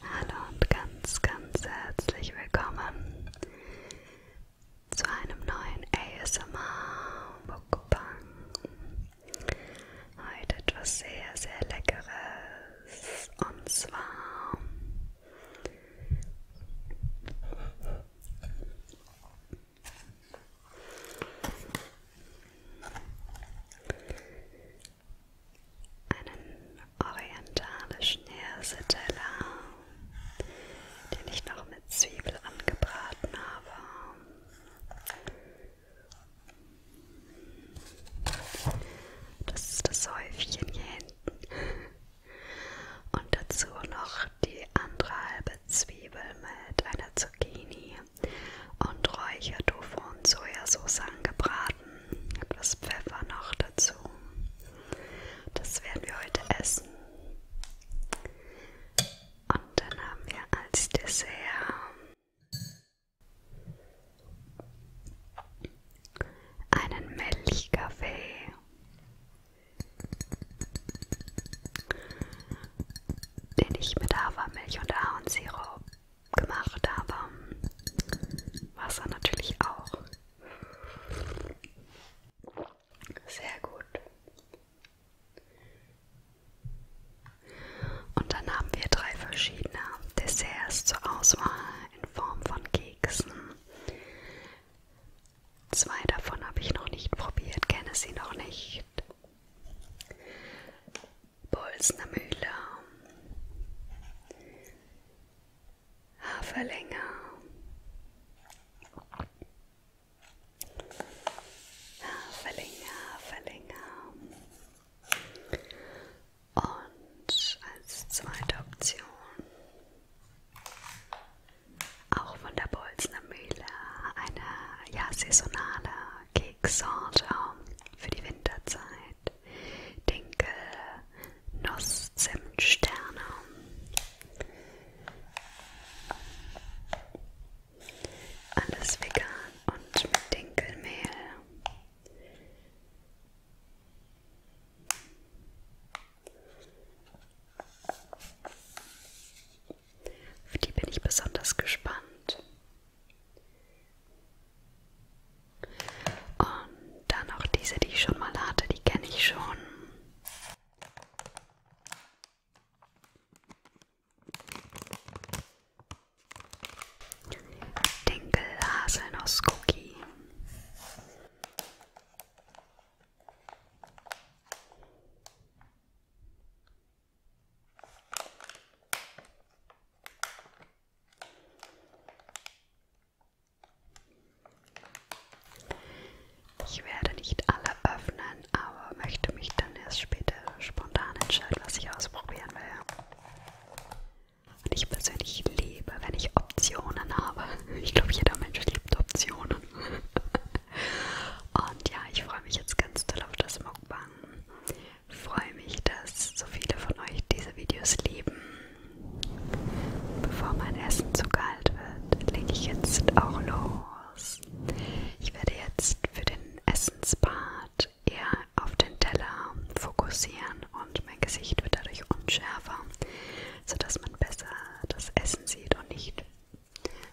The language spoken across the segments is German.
Hallo und ganz, ganz herzlich willkommen zu einem neuen ASMR Mukbang. Heute etwas sehr, sehr Leckeres und zwar einen orientalischen Hirseteller, den ich noch mit Zwiebel angebraten habe. Das ist das Häufchen hier hinten. Und dazu noch die andere halbe Zwiebel mit einer Zucchini und Räuchertofu und Sojasauce angebraten. Etwas Pfeffer noch dazu. Das werden wir heute essen. Und dann haben wir als Dessert einen Milchkaffee den ich mit Hafermilch und Ahornsirup gemacht habe. Wasser natürlich auch. Sehr gut. Und dann haben wir drei verschiedene Desserts zur Auswahl in Form von Keksen, Zwei davon habe ich noch nicht probiert, kenne sie noch nicht. Bolsner Mühle, Haferlänger, Haferlänger, Haferlänger. Und als zweite Option auch von der Bolzner Mühle eine ja, saisonale Keksorte ähm, für die Winterzeit. Dinkel, Nuss, Zimt, Sterne. Alles vegan und mit Dinkelmehl. Auf die bin ich besonders gespannt. Und dann auch diese, die ich schon mal hatte, die kenne ich schon. Dinkel Haselnuss Cookie. Ich werde nicht alle öffnen, aber möchte mich dann erst später spontan entscheiden, was ich ausprobieren will. Und ich persönlich liebe, wenn ich Optionen habe. Ich glaube, jeder Mensch liebt Optionen. Und ja, ich freue mich jetzt ganz toll auf das Mukbang. Freue mich, dass so viele von euch diese Videos lieben. Bevor mein Essen zu kalt wird, lege ich jetzt auch los. Ich werde jetzt für den Essenspart eher auf den Teller fokussieren und mein Gesicht wird dadurch unschärfer sodass man besser das Essen sieht und nicht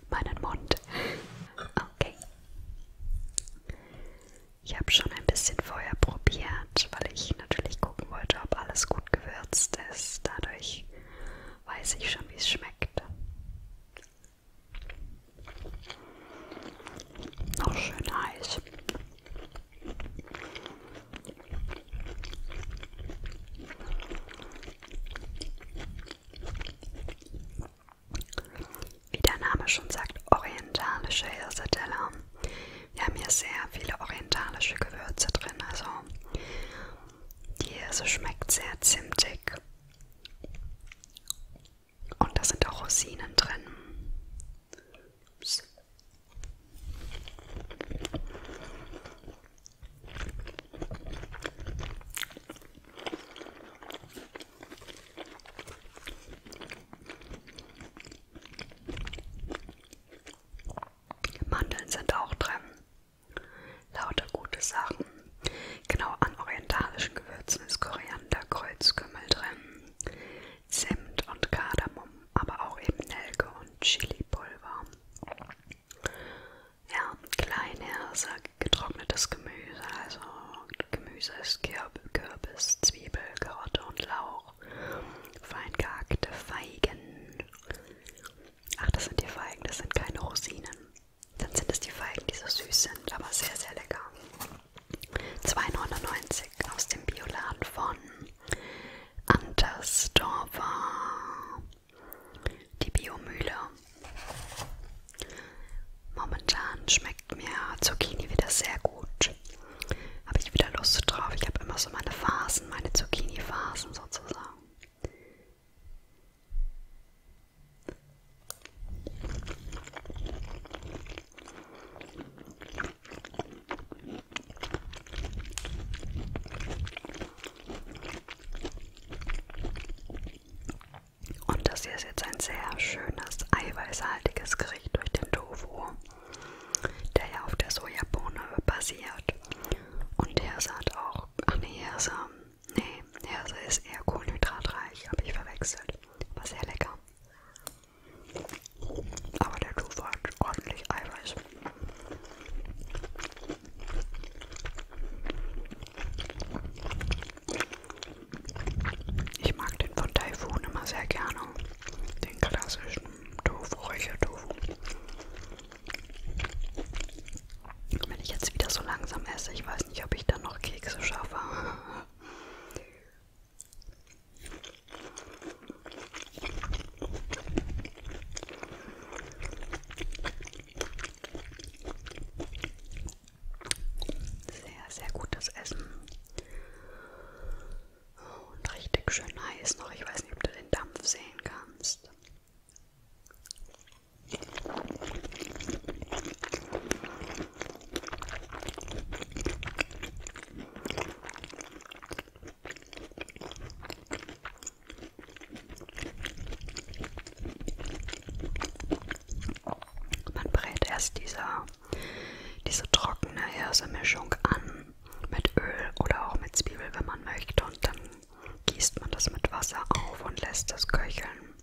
meinen Mund. Okay. Ich habe schon ein bisschen vorher probiert, weil ich natürlich gucken wollte, ob alles gut gewürzt ist. Dadurch weiß ich schon, wie es schmeckt. Noch schön heiß. Wie der Name schon sagt, orientalische Hirseteller. Wir haben hier sehr viele orientalische Gewürze drin, also die Hirse schmeckt sehr zimtig. Und da sind auch Rosinen drin. Ups. Mandeln sind auch drin. Lauter gute Sachen. Genau an orientalischen Gewürzen ist Koriander, Kreuzkümmel drin, Zimt und Kardamom, aber auch eben Nelke und Chilipulver. Ja, kleiner sagt getrocknetes Gemüse, also Gemüse ist Kirb Kürbis, Zwiebel, Karotte und Lauch. Fein gehackte Feigen. Ach, das sind die Feigen, das sind keine Rosinen. Dann sind es die Feigen, die so süß sind, aber sehr, sehr lecker. 2,99 aus dem Bioladen von Andersdorfer, die Biomühle. Momentan schmeckt mir Zucchini wieder sehr gut. Habe ich wieder Lust drauf. Ich habe immer so meine Phasen, meine Zucchini-Phasen sozusagen. Und das hier ist jetzt ein sehr schönes, eiweißhaltiges Gericht durch den Tofu, der ja auf der Sojabohne basiert. Und Hirse hat auch, ach nee, Hirse, nee, Hirse ist eher kohlenhydratreich, habe ich verwechselt. War sehr lecker. Aber der Tofu hat ordentlich Eiweiß. Ich mag den von Taifun immer sehr gerne. Den klassischen Tofu, Räuchertofu. Wenn ich jetzt wieder so langsam esse, ich weiß nicht, ob ich dann noch Kekse schaffe. Sehr, sehr gutes Essen. Und richtig schön heiß noch. Ich weiß nicht, ob du den Dampf sehen kannst. Man brät erst diese, diese trockene Hirsemischung an mit Öl oder auch mit Zwiebel, wenn man möchte, und dann gießt man das mit Wasser auf und lässt es köcheln,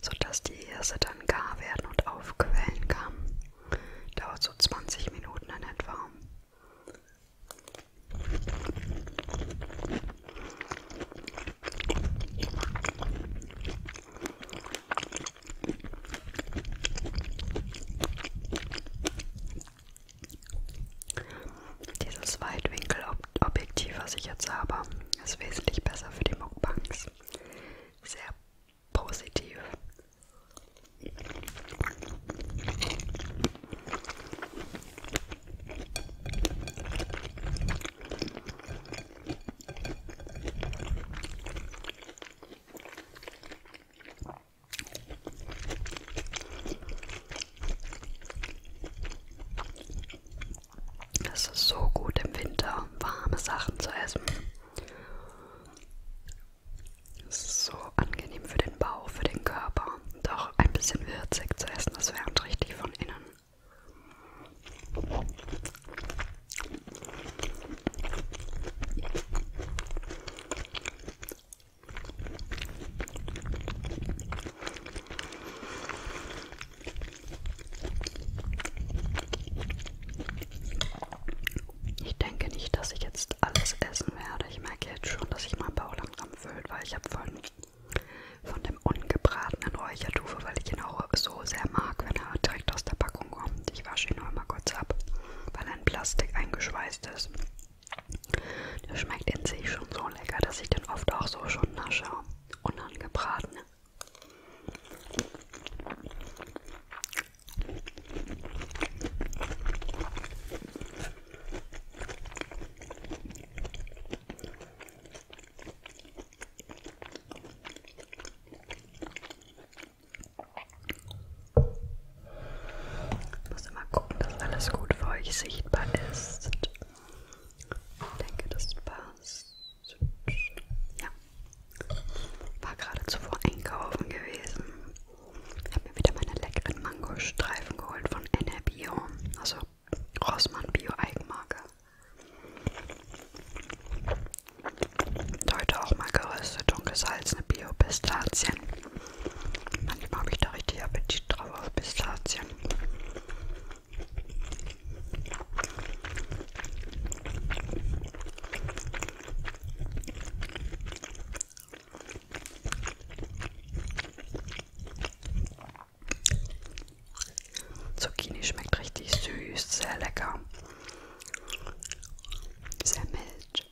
sodass die Hirse dann gar werden und aufquellen kann. Dauert so 20 Minuten in etwa. Dieses Weitwinkelobjektiv, was ich jetzt habe, ist wesentlich besser für die Mukbangs. Sehr positiv das ist so gut im Winter, warme Sachen zu essen. Es ist so angenehm für den Bauch, für den Körper und auch ein bisschen würzig zu essen. Das wärmt richtig von innen. Ich denke nicht, dass ich jetzt alles essen werde. Ich merke jetzt schon, dass ich mein Bauch langsam füllt, weil ich habe von, von dem ungebratenen Räuchertufe, weil ich ihn auch so sehr mag, wenn er direkt aus der Packung kommt. Ich wasche ihn nur mal kurz ab, weil er in Plastik eingeschweißt ist. Der schmeckt in sich schon so lecker, dass ich den oft auch so schon nasche. Unangebraten. Ich muss immer gucken, dass alles gut für euch sichtbar ist. Ich denke, das passt. Ja. War gerade zuvor einkaufen gewesen. Ich habe mir wieder meine leckeren Mangostreifen geholt von Enerbio, also Rossmann Bio Eigenmarke. Und heute auch mal geröstet und gesalzene Bio-Pistazien. Manchmal habe ich da richtig Appetit drauf auf Pistazien. Zucchini schmeckt richtig süß, sehr lecker, sehr mild.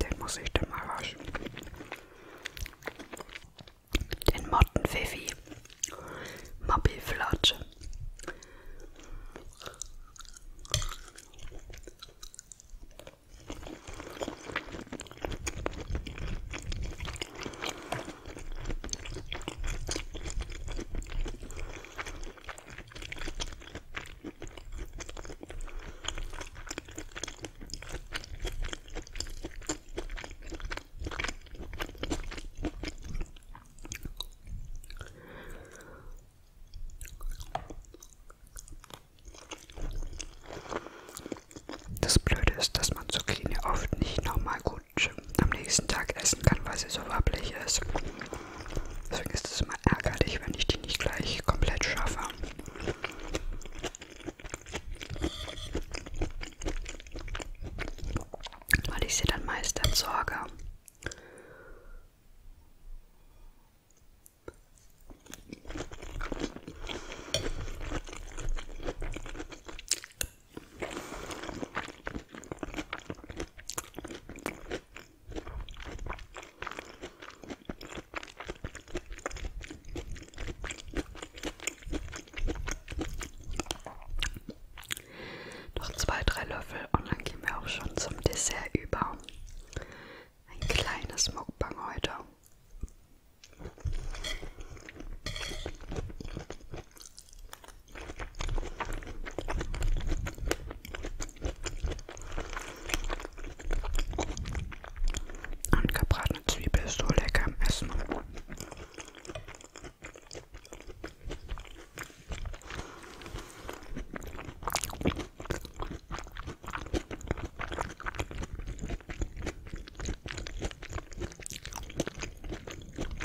Den muss ich dann mal waschen. Den Mottenpfiffi. Moppelflatsche. Das Blöde ist, dass man Zucchini oft nicht nochmal gut Couch am nächsten Tag essen kann, weil sie so wabbelig ist. Deswegen ist es immer ärgerlich, wenn ich die nicht gleich komplett schaffe. Weil ich sie dann meist entsorge. Noch zwei, drei Löffel und dann gehen wir auch schon zum Dessert über. Ein kleines Mukbang heute. Und gebratene Zwiebel ist so lecker im Essen.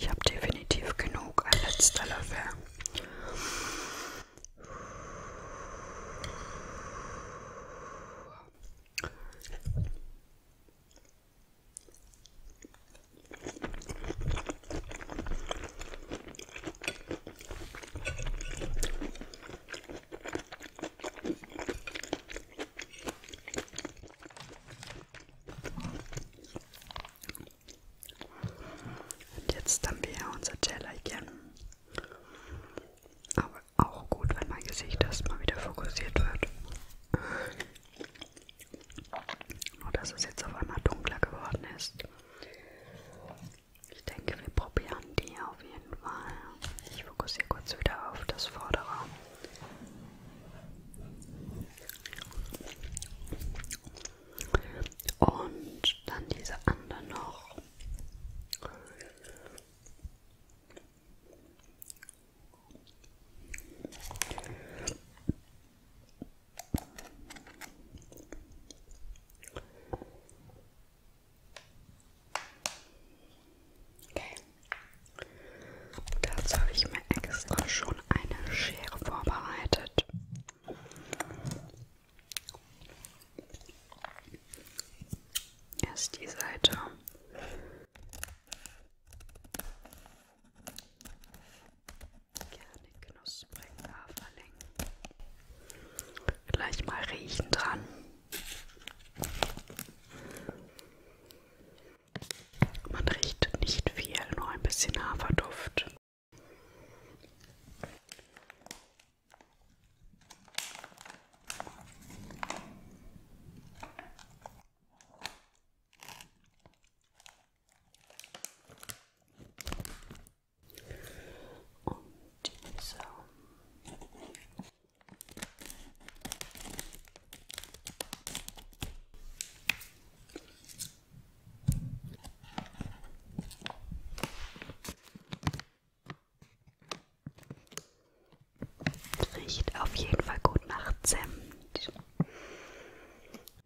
Ich habe definitiv genug, ein letzter Löffel. Und jetzt haben wir unser Tellerchen. Aber auch gut, wenn mein Gesicht erstmal wieder fokussiert wird. Nur dass es jetzt auf einmal dunkler geworden ist. Ich denke, wir probieren die auf jeden Fall. Ich fokussiere kurz wieder auf das Vordere. Und dann diese andere noch. Okay. Dazu habe ich mir extra schon eine Schere vorbereitet. Erst die Seite. Gerne knusprig da verlängern. Gleich mal riechen dran. Man riecht nicht viel, nur ein bisschen Haferduft. Und dieser. Riecht auf jeden Fall gut nach Zimt.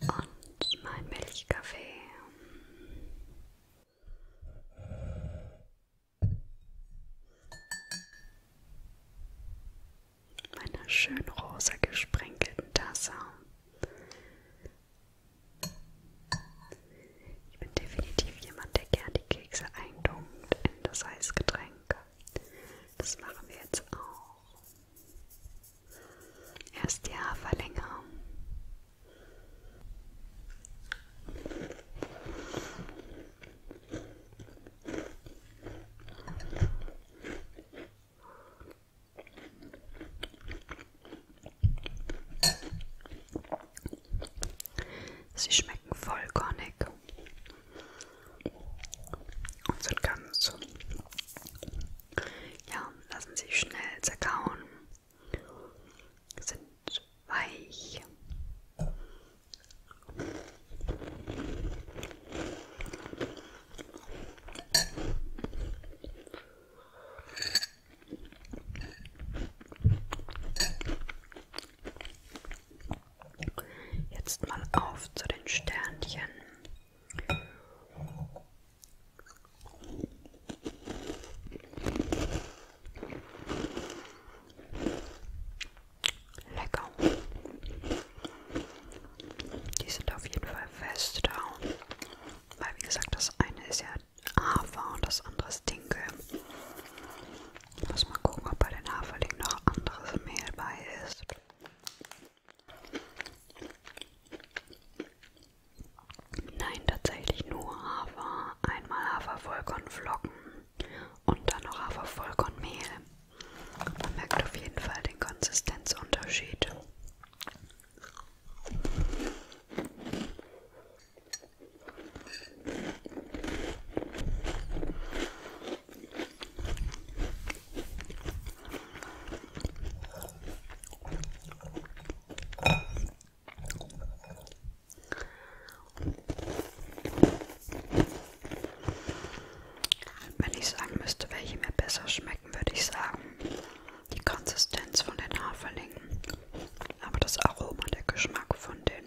Und mein Milchkaffee. Meine schön rosa gesprenkelten Tasse. Ich bin definitiv jemand, der gern die Kekse eindunkt in das Eisgetränk. Das machen wir jetzt auch. Erst die Haarverlängerung. Sie schmecken vollkornig und sind ganz, ja, lassen sich schnell zerkauen, sind weich. Jetzt mal auf zu den Sternchen. Lecker. Die sind auf jeden Fall fest da. Weil wie gesagt, das eine ist ja Hafer und das andere ist Dinkel. Ich muss mal gucken, ob bei den Haferlingen noch anderes Mehl bei ist. Nein, tatsächlich nur Hafer. Einmal Hafervollkornflocken und dann noch Hafervollkornmehl. Man merkt auf jeden Fall den Konsistenzunterschied. Wenn ich sagen müsste, welche mir besser schmecken, würde ich sagen, die Konsistenz von den Haferlingen, aber das Aroma, der Geschmack von den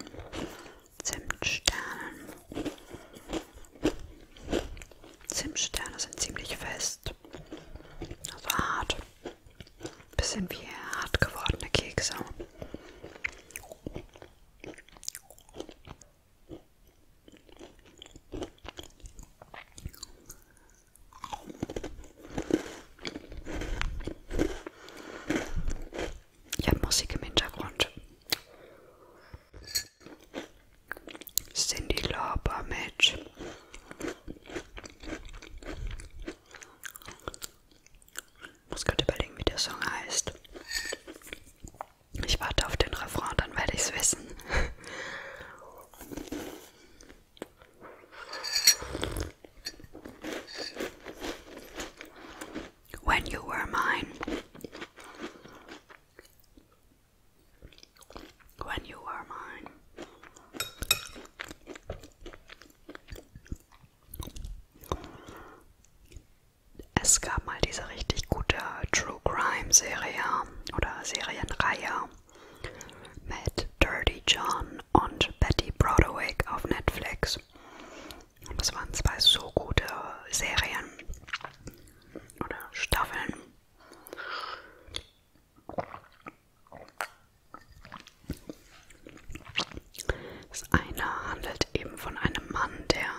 Zimtsternen. Zimtsterne sind ziemlich fest, also hart. Bisschen wie hart gewordene Kekse. Ich habe Musik im Hintergrund. Cindy Lauper Match. Ich muss gerade überlegen, wie der Song heißt. Ich warte auf den Refrain, dann werde ich es wissen when you were mine. When you were mine. Es gab mal diese richtig gute True Crime Serie oder Serienreihe mit Dirty John und Betty Broadwick auf Netflix. Und das waren zwei so gute Serien oder Staffeln. Das eine handelt eben von einem Mann, der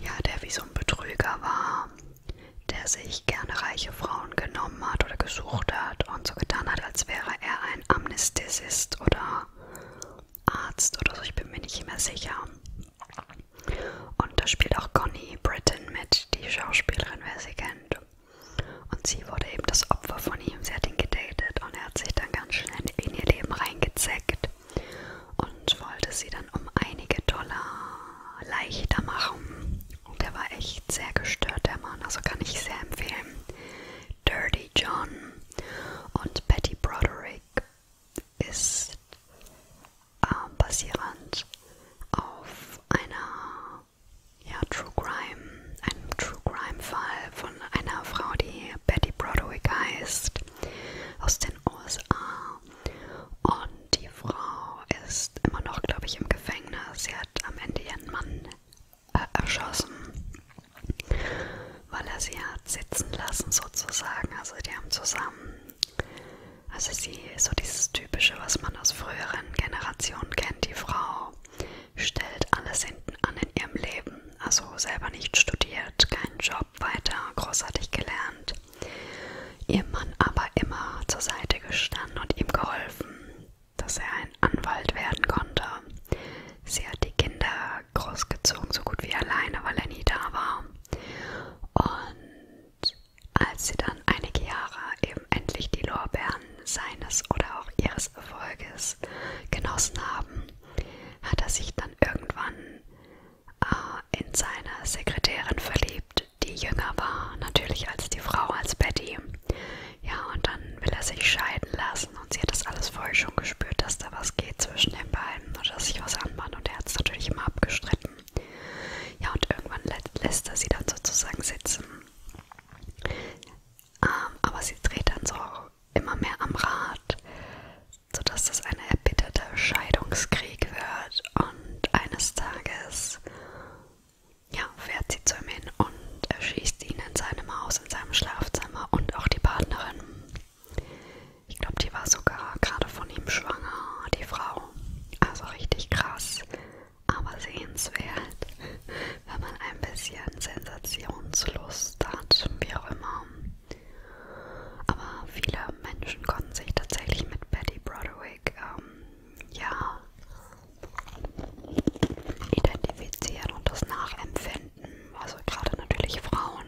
ja, der wie so ein Betrüger war, der sich gerne reiche Frauen genommen hat oder gesucht hat und so getan hat, als wäre er ein Amnestisist oder Arzt oder so, ich bin mir nicht mehr sicher. Und da spielt auch Connie Britton mit, die Schauspielerin, wer sie kennt. Und sie wurde eben das Opfer von ihm. Sie hat ihn gedatet und er hat sich dann ganz schnell in ihr Leben reingezeckt und wollte sie dann um einige Dollar leichter machen. Und er war echt sehr gestört, der Mann. Also kann ich sehr empfehlen, Dirty John und Betty Broderick ist äh, basierend auf einer ja, True Crime, einem True Crime Fall von einer Frau, die Betty Broderick heißt, aus den USA. Und die Frau ist immer noch, glaube ich, im Gefängnis. Sie hat am Ende ihren Mann äh, erschossen, weil er sie hat sitzen lassen sozusagen. Also die haben zusammen, also sie, so dieses Typische, was man aus früheren Generationen kennt, die Frau stellt alles hinten an in ihrem Leben. Also selber nicht studiert, keinen Job weiter, großartig gelernt. Ihr Mann aber immer zur Seite gestanden und ihm geholfen, dass er ein Anwalt werden konnte. Sie hat die Kinder großgezogen, so gut wie alleine, weil er nie da war. Und als sie dann einige Jahre eben endlich die Lorbeeren seines oder auch ihres Erfolges genossen haben, hat er sich dann irgendwann äh, in seine Sekretärin verliebt, die jünger war, natürlich als die Frau, als Betty. Ja, und dann will er sich scheiden lassen und sie hat das alles vorher schon gespürt, dass da was geht zwischen den beiden oder dass sich was anbahnt und er hat es natürlich immer abgestritten. Ja, und irgendwann lässt er sie dann sozusagen sitzen. Ähm, aber sie dreht dann so immer mehr am Rad, sodass das eine erbitterte Scheidungskrieg wird und eines Tages ja, er genau, fährt sie zu ihm hin und erschießt ihn in seinem Haus, in seinem Schlafzimmer und auch die Partnerin. Ich glaube, die war sogar gerade von ihm schwanger, die Frau. Also richtig krass, aber sehenswert, wenn man ein bisschen Sensationslust hat, wie auch immer. Aber viele Menschen konnten sich tatsächlich mit Betty Broderick ähm, ja identifizieren und das nachempfinden. Also gerade natürlich Frauen,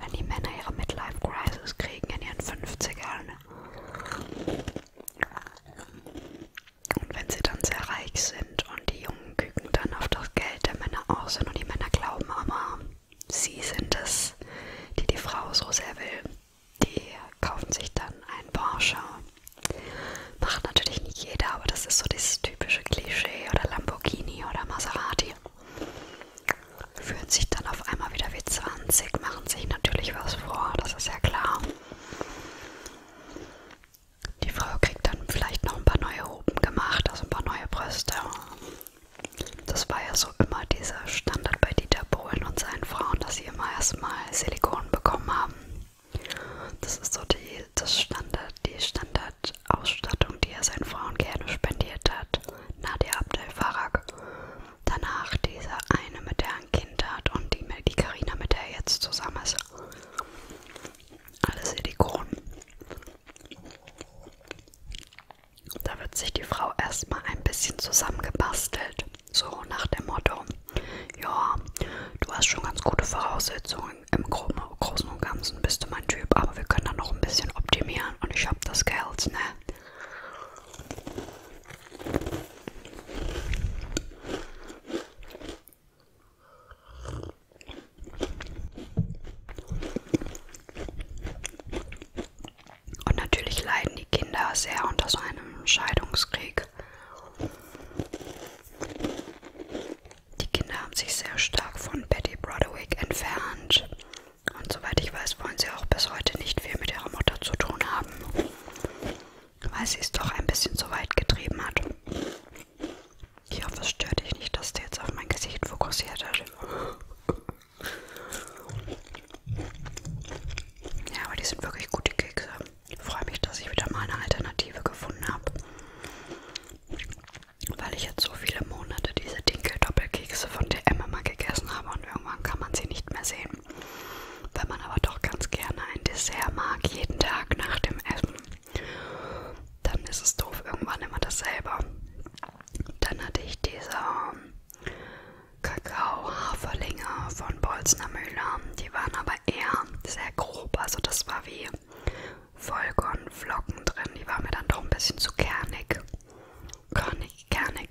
wenn die Männer ihre Midlife Crisis kriegen in ihren 50ern. Und wenn sie dann sehr reich sind und die Jungen küken dann auf das Geld der Männer aus sind und die Männer glauben aber, sie sind es, die die Frau so sehr will. Die kaufen sich dann ein Porsche Macht natürlich nicht jeder, aber das ist so dieses typische Klischee oder Lamborghini oder Maserati. Fühlen sich dann auf einmal wieder wie 20, machen sich natürlich was vor, das ist ja klar. Die Frau kriegt dann vielleicht noch ein paar neue Oben gemacht, also ein paar neue Brüste. Das war ja so immer dieser Standard bei Dieter Bohlen und seinen Frauen, dass sie immer erstmal Silikon bekommen haben. Das ist so die, das Standard, die Standardausstattung, die er seinen Frauen gerne spendiert hat. Nadia Abdel Farag. Danach diese eine, mit der er ein Kind hat und die, die Carina, mit der er jetzt zusammen ist. Alles Silikon. Da wird sich die Frau erstmal ein bisschen zusammengebastelt. So nach dem Motto, ja, du hast schon ganz gute Voraussetzungen. Im Großen und Ganzen bist du mein Typ, aber wir können da noch ein bisschen optimieren und ich habe das Geld, ne? Und natürlich leiden die Kinder sehr unter so einem Scheidungskrieg. Die Kinder haben sich sehr stark von Betty Broderick entfernt. Und soweit ich weiß, wollen sie auch bis heute nicht viel mit ihrer Mutter zu tun haben, weil sie es doch ein bisschen zu weit getrieben hat. Ich hoffe, es stört dich nicht, dass du jetzt auf mein Gesicht fokussiert hast. Ja, aber die sind wirklich gute Kekse. Ich freue mich, dass ich wieder mal eine Alternative gefunden habe. Weil ich jetzt so viele Monate diese Dinkel-Doppelkekse von DM immer gegessen habe und irgendwann kann man sie nicht mehr sehen. Wenn man aber doch ganz gerne ein Dessert mag, jeden Tag nach dem Essen, dann ist es doof, irgendwann immer dasselbe. Dann hatte ich diese ähm, Kakao-Haferlinge von Bolzner Müller, die die waren aber eher sehr grob, also das war wie Vollkornflocken drin. Die waren mir dann doch ein bisschen zu kernig. Körnig, kernig.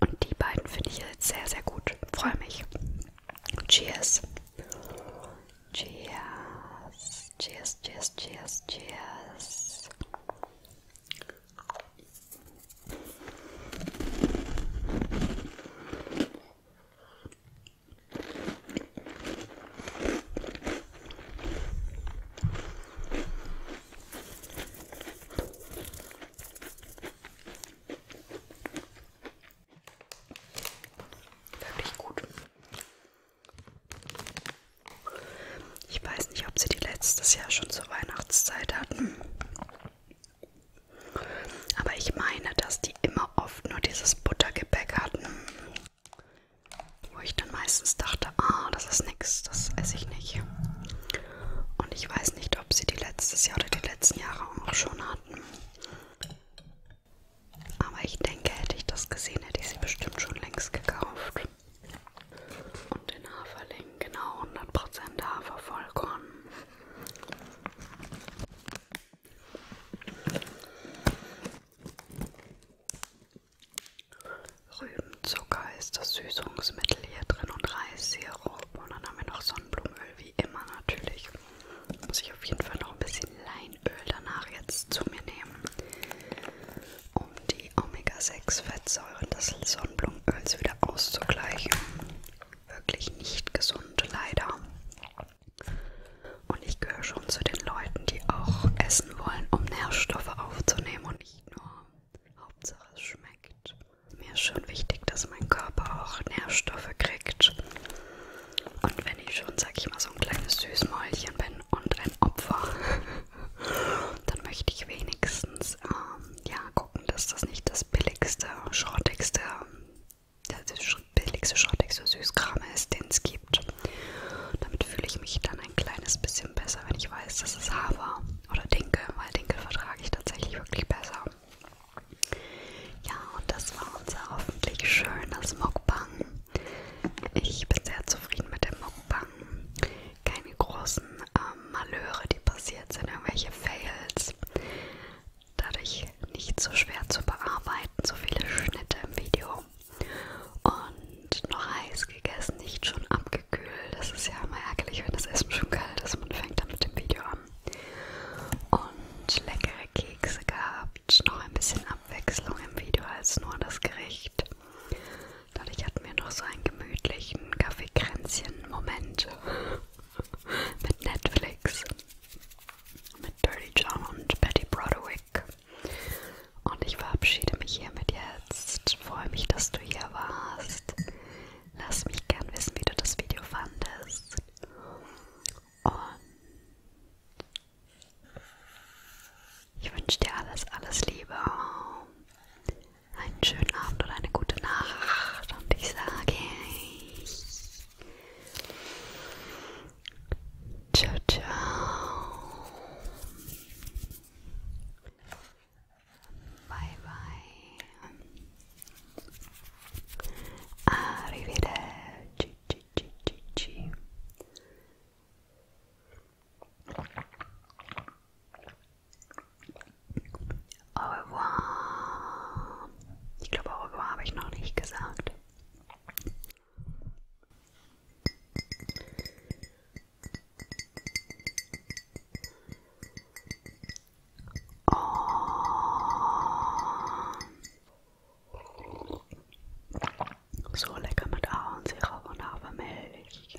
Und die beiden finde ich jetzt sehr, sehr gut. Freue mich. Cheers. Cheers. Cheers, cheers, cheers, cheers. Wirklich gut. Ich weiß nicht, ob sie die letztes Jahr schon zur Weihnachtszeit hatten. Aber ich meine, dass die immer oft nur dieses Buttergebäck hatten. Wo ich dann meistens dachte, ah, das ist nix, das esse ich nicht. Und ich weiß nicht, ob sie die letztes Jahr oder die letzten Jahre auch schon hatten. Aber ich denke, hätte ich das gesehen, hätte ich sie bestimmt schon längst gekauft. Und den Haferling, genau 100% Hafer, Vollkorn. Rübenzucker ist das Süßungsmittel hier drin und Reissirup. Und dann haben wir noch Sonnenblumenöl, wie immer natürlich. Muss ich auf jeden Fall noch ein bisschen Leinöl danach jetzt zu mir nehmen, um die Omega-6-Fettsäuren des Sonnenblumenöls wieder auszugleichen wirklich nicht gesund, leider. Und ich gehöre schon zu den Leuten, die auch essen wollen, um Nährstoffe aufzunehmen und nicht nur Hauptsache es schmeckt. Mir ist schon wichtig, dass mein Körper auch Nährstoffe kriegt. Und wenn ich schon, sag ich mal, so ein kleines Süßmäulchen bin und ein Opfer, dann möchte ich wenigstens ähm, ja, gucken, dass das nicht das billigste, schrottigste der billigste schrottigste Süßkram ist, den es gibt. Damit fühle ich mich dann ein kleines bisschen besser, wenn ich weiß, dass es Hafer oder Dinkel, weil Dinkel vertrage ich tatsächlich wirklich besser. Ja, und das war unser hoffentlich schönes Mukbang. Ich bin sehr zufrieden mit dem Mukbang. Keine großen ähm, Malheure, die passiert sind, irgendwelche Fails dadurch nicht so schwer zu bearbeiten, so viele Schnitte im Video. Und noch heiß gegessen, nicht schon abgekühlt. Das ist ja immer ärgerlich, wenn das Essen schon kalt ist. Man fängt dann mit dem Video an. Und leckere Kekse gehabt, noch ein bisschen Abwechslung im Video als nur das Gericht. Dadurch hatten wir noch so einen gemütlichen Kaffeekränzchen-Moment mit Netflix, mit Dirty John und Betty Broderick. Und ich verabschiede mich hiermit jetzt. Freue mich, dass du hier warst. Lass mich gern wissen, wie du das Video fandest. Und ich wünsche dir alles, alles Liebe. Einen schönen Abend oder eine gute Nacht. Und ich sage. Ciao, ciao. Bye, bye. Arrivederci. Ci, ci, ci, ci. Au revoir. Ich glaube, au revoir habe ich noch nicht gesagt. Oh. So lecker mit Ahornsirup und Hafermilch.